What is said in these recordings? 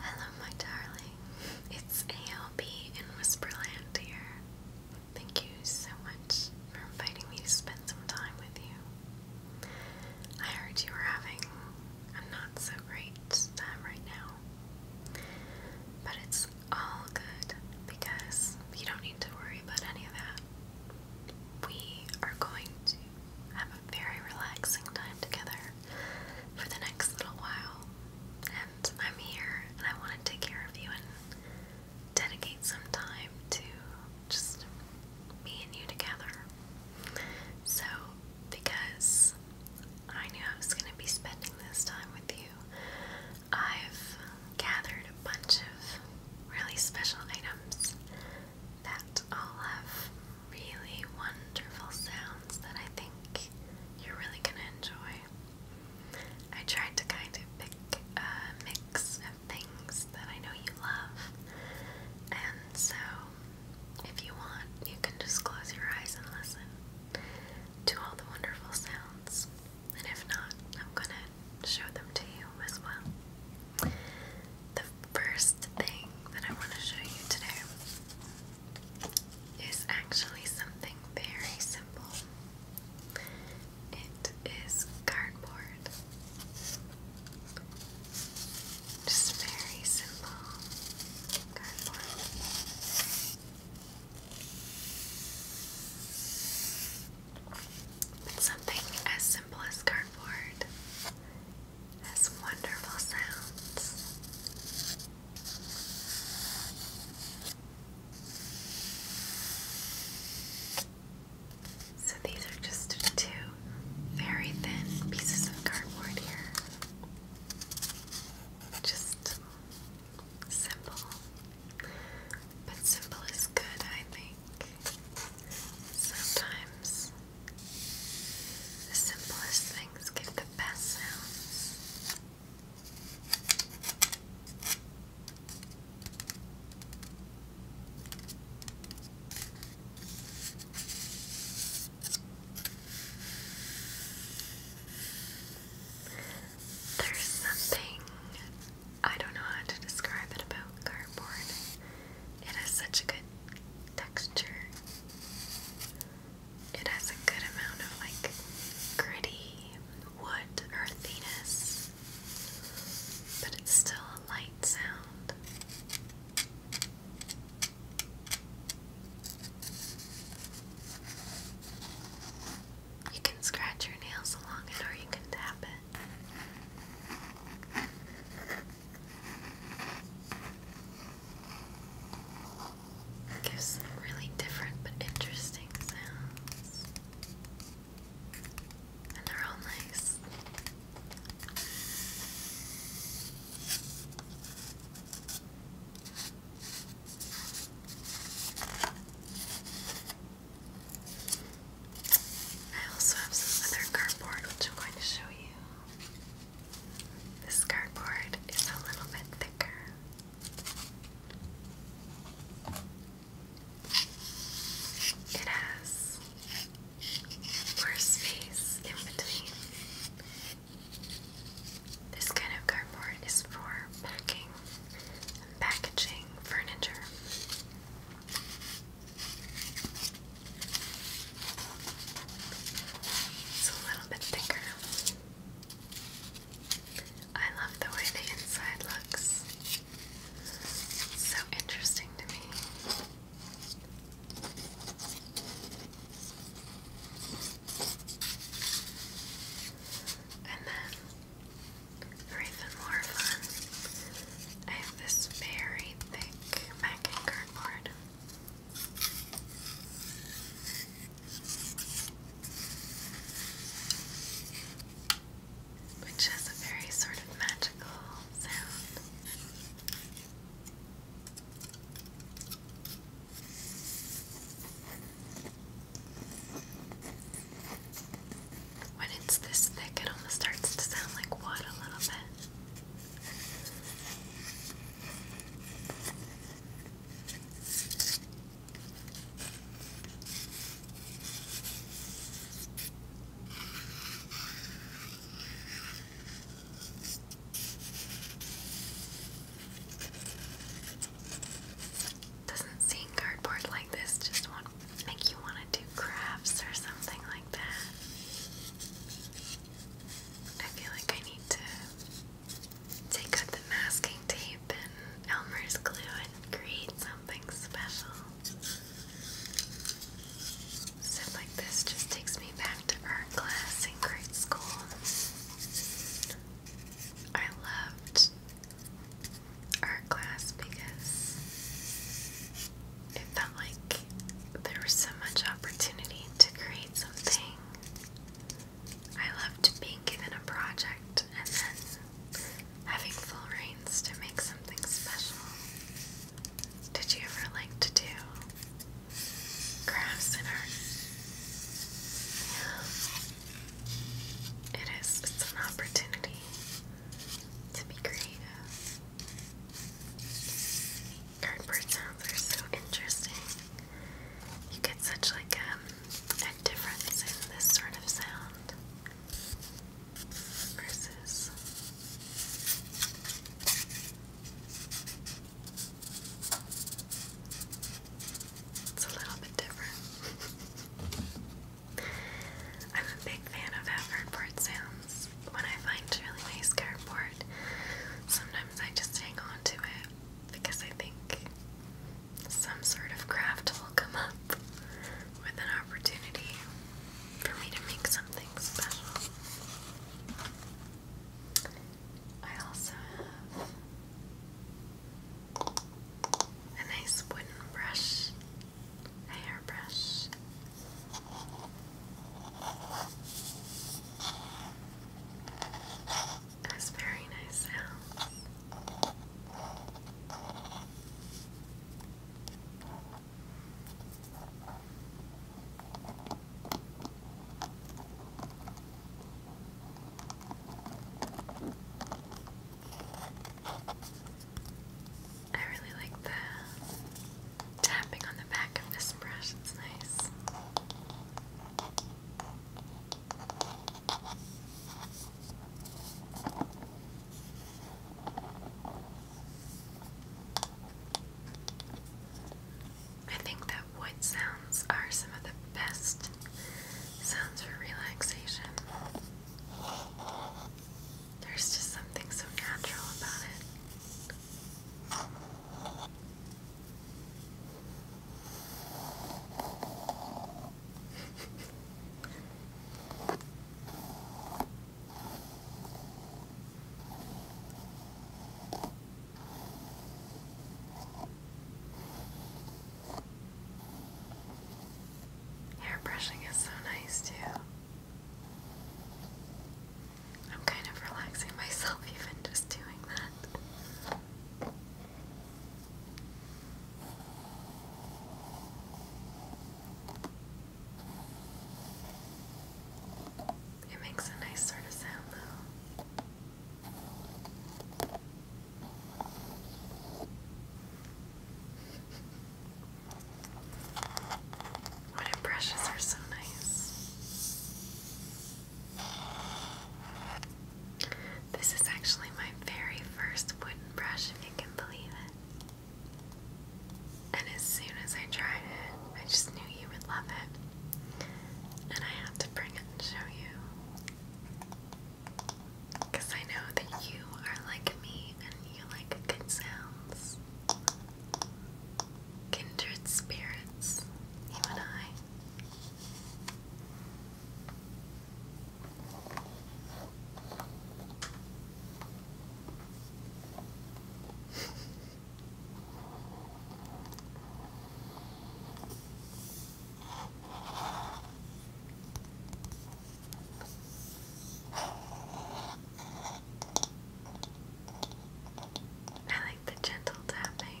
Hello, my darling. It's A.L.P. in Whisperland here. Thank you so much for inviting me to spend some time with you. I heard you were having a not so great time right now, but it's all good because you don't need to worry about any of that. We are going to have a very relaxing time together for the next little while. And I'm here and I want to take care of you and dedicate some time to just me and you together. So, because I knew I was going to be spending this time with you, I've gathered a bunch of really special items that I'll have really wonderful sounds that I think you're really gonna enjoy. I tried to kind of pick a mix of things that I know you love, and so if you want, you can just close your eyes and listen to all the wonderful sounds. And if not, I'm gonna show them to you as well. The first thing that I want to show you today is actually something very simple. It is cardboard. Just very simple cardboard. something as simple as cardboard has wonderful sounds. So these are just two very thin pieces of cardboard here. Just simple. But simple is good, I think. Sometimes the simplest things give the best sounds. There's something, I don't know how to describe it about cardboard. It has such a good texture. It has a good amount of like gritty wood earthiness, but it's still a light sound. You can scratch your nails along it or you can tap it. Gives some really different but interesting sounds. And they're all nice. I also have some other cardboard which I'm going to show you. This cardboard is a little bit thicker. It has more space in between. This kind of cardboard is for packing and packaging furniture. It's a little bit thicker. I love the way the inside looks. so interesting to me. And then, even more fun, I have this very thick mac and cardboard which has a very sort of magical sound. When it's this thick, it almost starts to sound like wood a little bit. Doesn't seeing cardboard like this just make you want to do crafts or something like that? I feel like I need to take out the masking tape and Elmer's glue and create something special. Stuff like this just takes me back to art class in grade school. I loved art class because it felt like there was so much opportunity to create something. I loved being given a project and then having full reins to make something special. Did you ever like to do crafts and art? It is, it's an opportunity to be creative cardboard sounds are so interesting. You get such like um, a difference in this sort of sound versus it's a little bit different. I'm a big fan of how cardboard sounds because when I find really nice cardboard, sometimes I just hang on to it because I think some sort of craft will come up with an opportunity for me to make something special. I also have a nice wooden brush, a hairbrush. That's very nice sounds. I really like the tapping on the back of this brush, it's nice. I think that wood sounds are some of the best sounds for relaxation. There's just something so natural about it. Hair brushing is so nice too. I'm kind of relaxing myself even just doing that. It makes a nice sort of sound though. Wooden brushes are so nice. This is actually my very first wooden brush, if you can believe it. And as soon as I tried it, I just knew you would love it. And I had to bring it and show you. Because I know that you are like me and you like good sounds. Kindred spirits, you and I. I like the gentle tapping.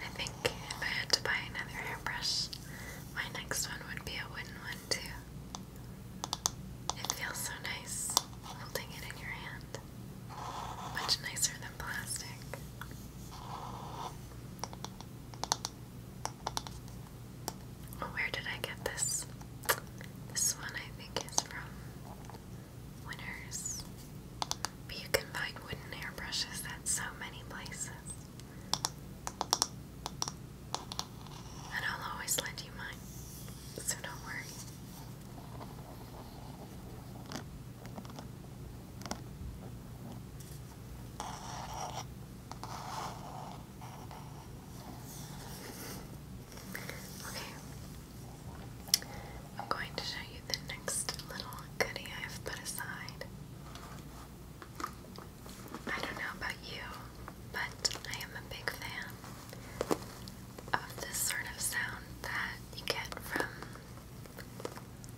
I think if I had to buy another hairbrush, my next one would be a wooden one too. It feels so nice holding it in your hand. Much nicer than plastic. Oh, where did I get this? This one I think is from Winners. But you can find wooden airbrushes at so many places. And I'll always lend you mine, so don't worry. Okay. I'm going to show you the next little goodie I've put aside. I don't know about you, but I am a big fan of this sort of sound that you get from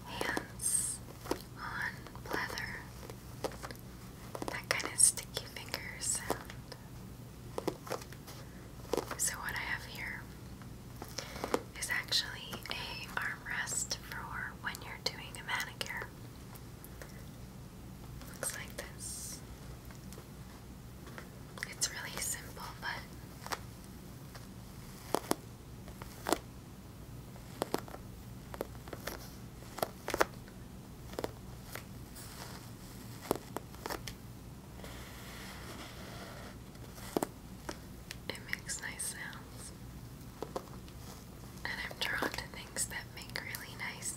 hands on leather. That kind of sticky finger sound. So, what I have here is actually a armrest for when you're doing a manicure. Looks like this. It's really simple, but it makes nice sounds. And I'm drawn to things that make really nice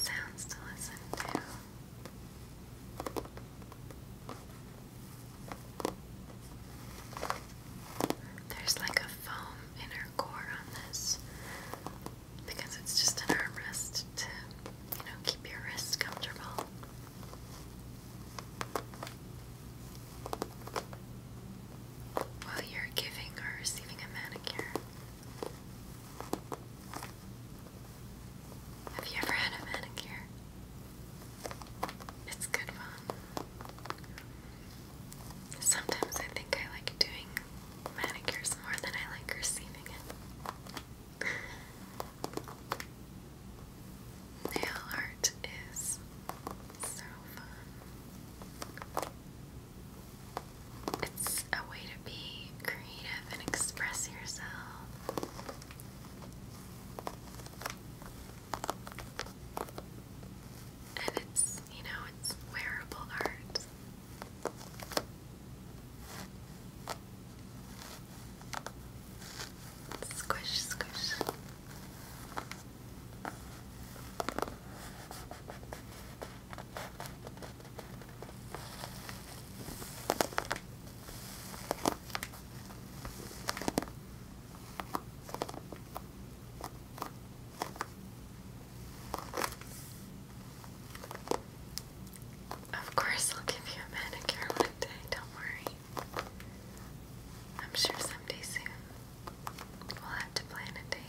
sounds to listen to. There's like a foam inner core on this because it's just an armrest to, you know, keep your wrists comfortable. While you're giving or receiving a manicure, have you ever had a manicure? It's good fun. Sometimes I think I like doing manicures more than I like receiving it. Nail art is so fun. It's a way to be creative and express yourself. And it's, you know, it's wearable art. Squish, squish. Of course, I'll give you a manicure one day, don't worry. I'm sure someday soon we'll have to plan a date.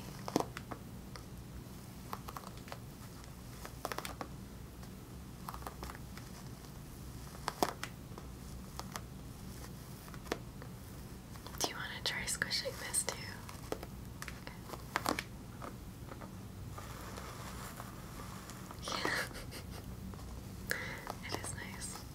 Do you want to try squishing this too? Yeah, it is nice.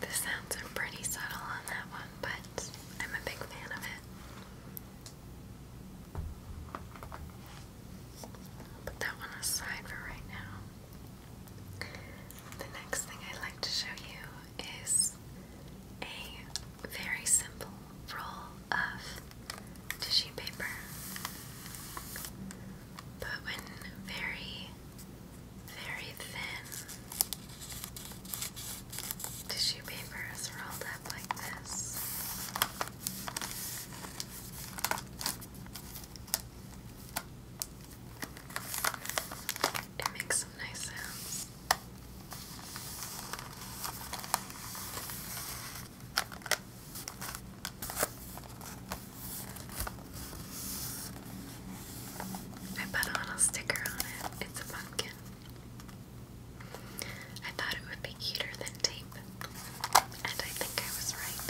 The sounds are pretty subtle on that one, but I'm a big fan of it. put that one aside for right now. The next thing I'd like to show you is a very simple roll of tissue paper, but when very very thin tissue paper is rolled up like this. It makes nice sounds. I put on a sticker on it. It's a I thought it would be cuter than tape, and I think I was right.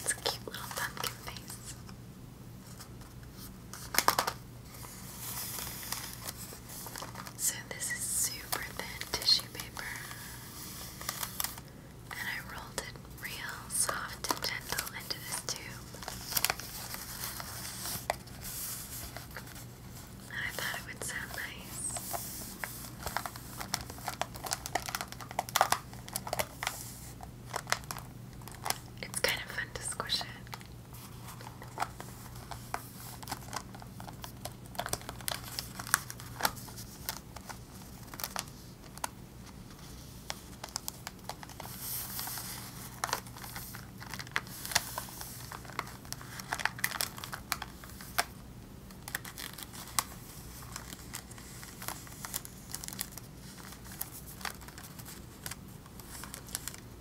It's a cute little pumpkin face. So, this is super thin tissue paper, and I rolled it real soft and gentle into this tube. I thought it would sound nice. It's kind of fun to squish it.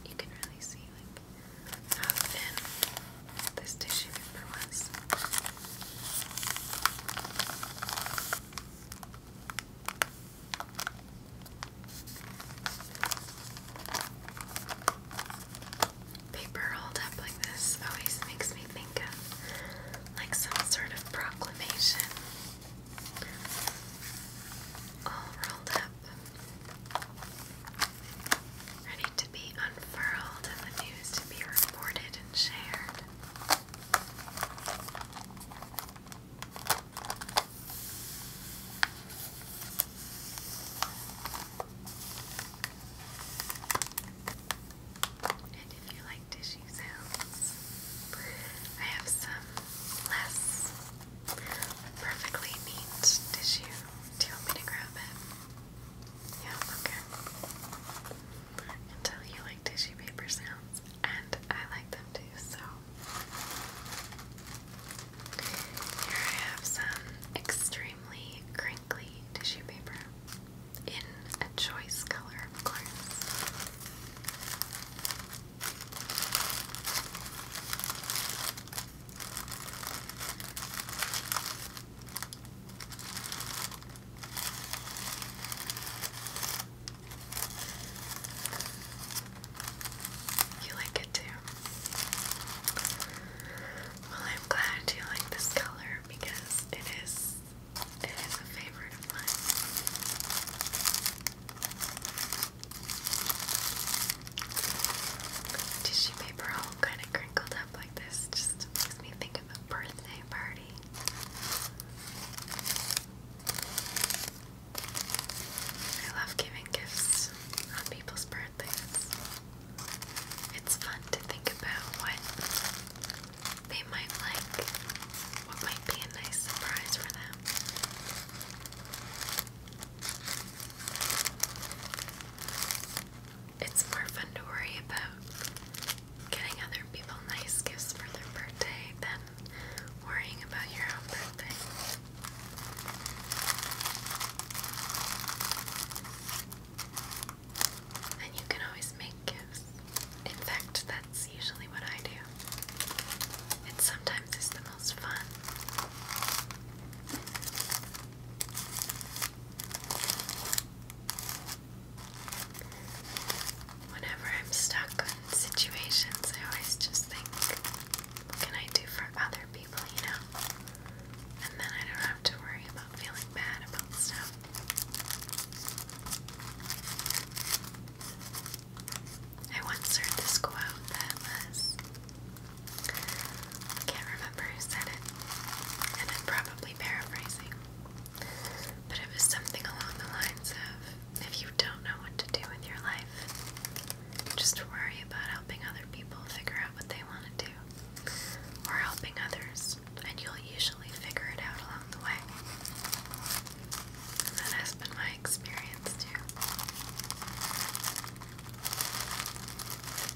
You can really see like how thin this tissue paper was. Paper rolled up like this always makes me think of like some sort of proclamation. All rolled up. Ready to be unfurled and the news to be reported and shared. And if you like tissue sounds, I have some less perfectly neat tissue. Do you want me to grab it? Yeah, okay. Until you like tissue paper sounds, and I like them too, so here I have some extremely crinkly tissue paper in a choice color, of course. You like it too. Well, I'm glad you like this color because it is it is a favorite of mine. Tissue paper all kind of crinkled up like this just makes me think of a birthday party. I love giving gifts on people's birthdays. It's fun to think about what they might like, what might be a nice surprise for them. It's more fun to worry about getting other people nice gifts for their birthday than worrying about your own birthday. And you can always make gifts. In fact, that's usually what I do. It sometimes is the most fun. Whenever I'm stuck situations, I always just think, what can I do for other people, you know? And then I don't have to worry about feeling bad about stuff. I once heard this quote that was, I can't remember who said it, and I'm probably paraphrasing, but it was something along the lines of, if you don't know what to do with your life, just worry about helping other people figure out what they want to do or helping others, and you'll usually figure it out along the way. that has been my experience too.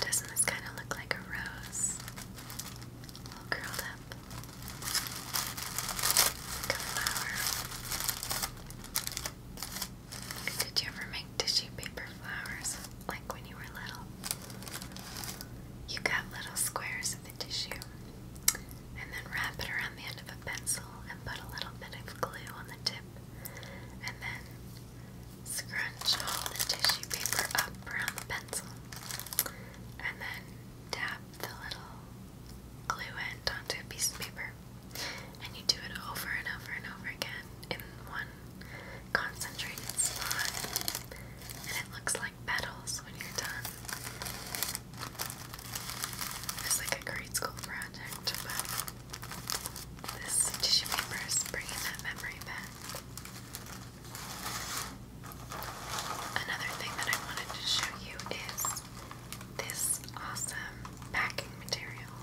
Doesn't this kind of look like a rose? curled up. Like a flower. Did you ever make tissue paper flowers like when you were little? You cut little squares of the tissue and then wrap it around the end of a pencil and put a little bit of glue on the tip and then scrunch all the tissue paper up around the pencil and then dab the little glue it onto a piece of paper. And you do it over and over and over again in one concentrated spot. And it looks like petals when you're done. It's like a grade school project, but this tissue paper is that memory back. Another thing that I wanted to show you is this awesome packing material.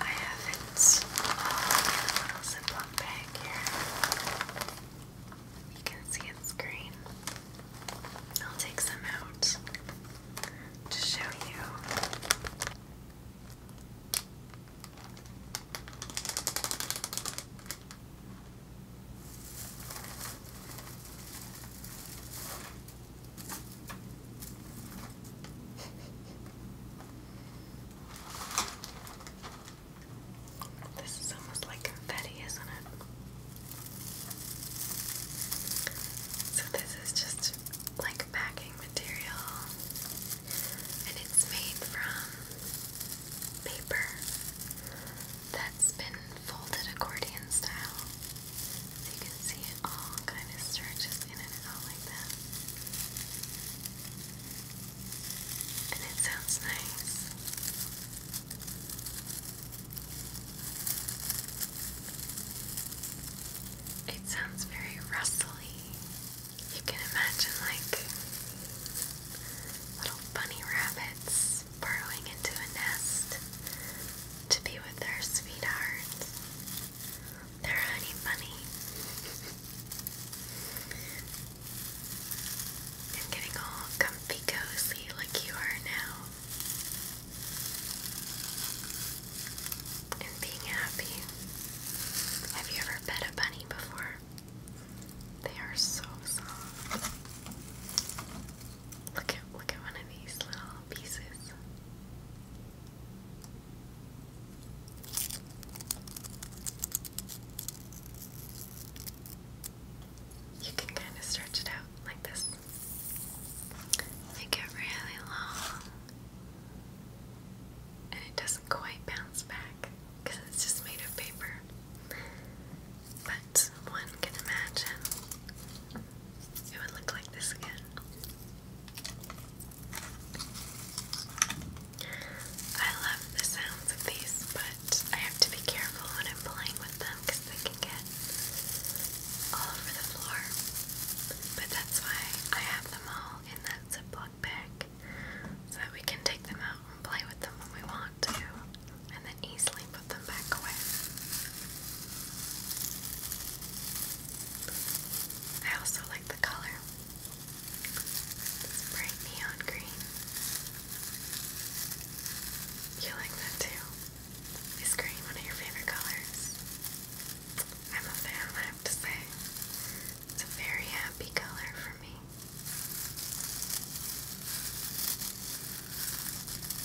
I have it in a little Ziploc bag here. You can see its green. I'll take some out to show you. This is almost like confetti, isn't it? So, this is just like packing material, and it's made from paper that's been folded accordion style. you can see it all kind of stretches in and out like that. And it sounds nice. It sounds very rustly. You can imagine like little bunny rabbits burrowing into a nest to be with their sweetheart, their honey bunny, and getting all comfy cozy like you are now, and being happy. Have you ever pet a bunny before? They are so soft. Look at look at one of these little pieces. You can kind of stretch it out like this. Make it really long. And it doesn't quite bounce back because it's just made of paper one can imagine it would look like this again. I love the sounds of these, but I have to be careful when I'm playing with them because they can get all over the floor. But that's why I have them all in that Ziploc bag so that we can take them out and play with them when we want to and then easily put them back away. I also like the color. bright neon green. You like that too? Is green one of your favorite colors? I'm a fan, I have to say. It's a very happy color for me.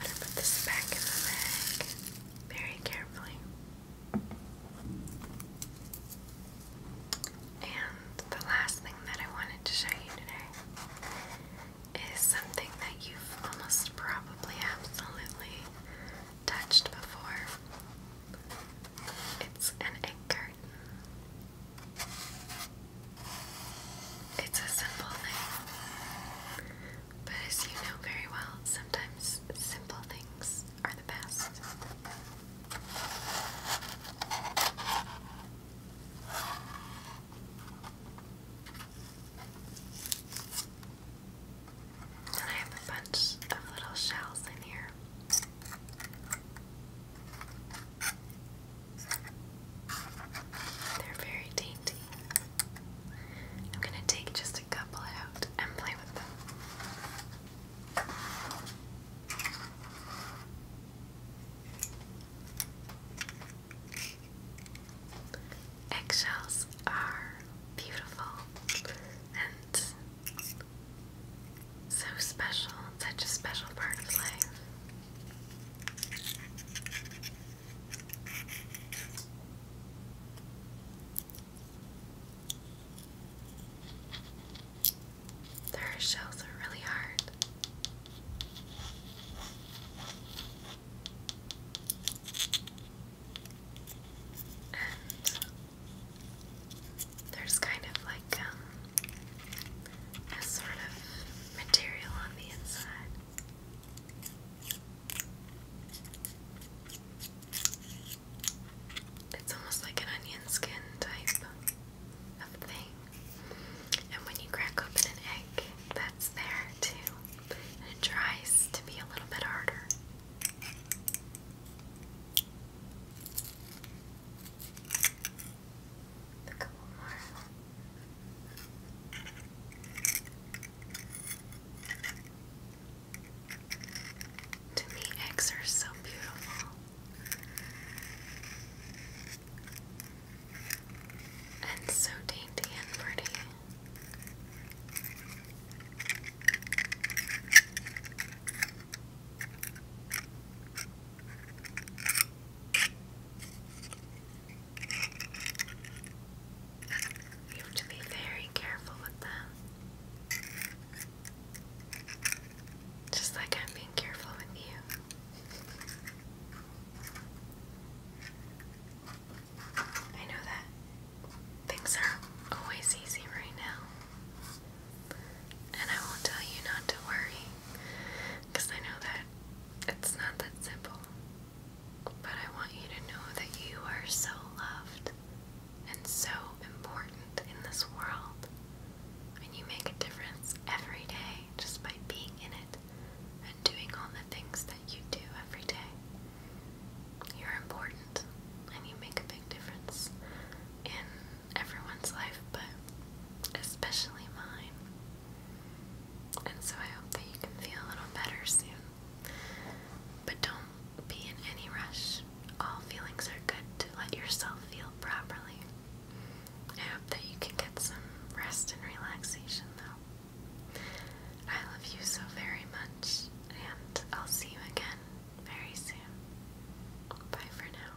i put this back in the bag very carefully. And the last thing that I wanted to show you today is something that you've almost probably absolutely touched before. It's an egg carton. It's a simple thing. But as you know very well, sometimes simple things are the best. I have a bunch of little shells in here. They're very dainty. I'm going to take just a couple out and play with them. Eggshells are beautiful and so special, such a special part of life. Their shells are really hard. And there's kind of like like um, a sort of material on the inside. It's almost like an onion skin type of thing. And when you crack open an egg, that's there too. And it tries to be a little bit harder a eggs are so beautiful. And so dainty and pretty. You have to be very careful with them. Just like I'm being careful with you. I know that things are always easy right now. And I will tell you not to worry. Because I know that it's not that simple. But I want you to know that you are so loved and so important in this world. And you make a difference every day just by being in it and doing all the things that you do every day. You're important and you make a big difference in everyone's life, but especially mine. And so I hope that you can feel a little better soon. But don't be in any rush. All feelings are good to let yourself feel properly. I hope that you can get some rest and relaxation, though. I love you so very much, and I'll see you again very soon. Bye for now.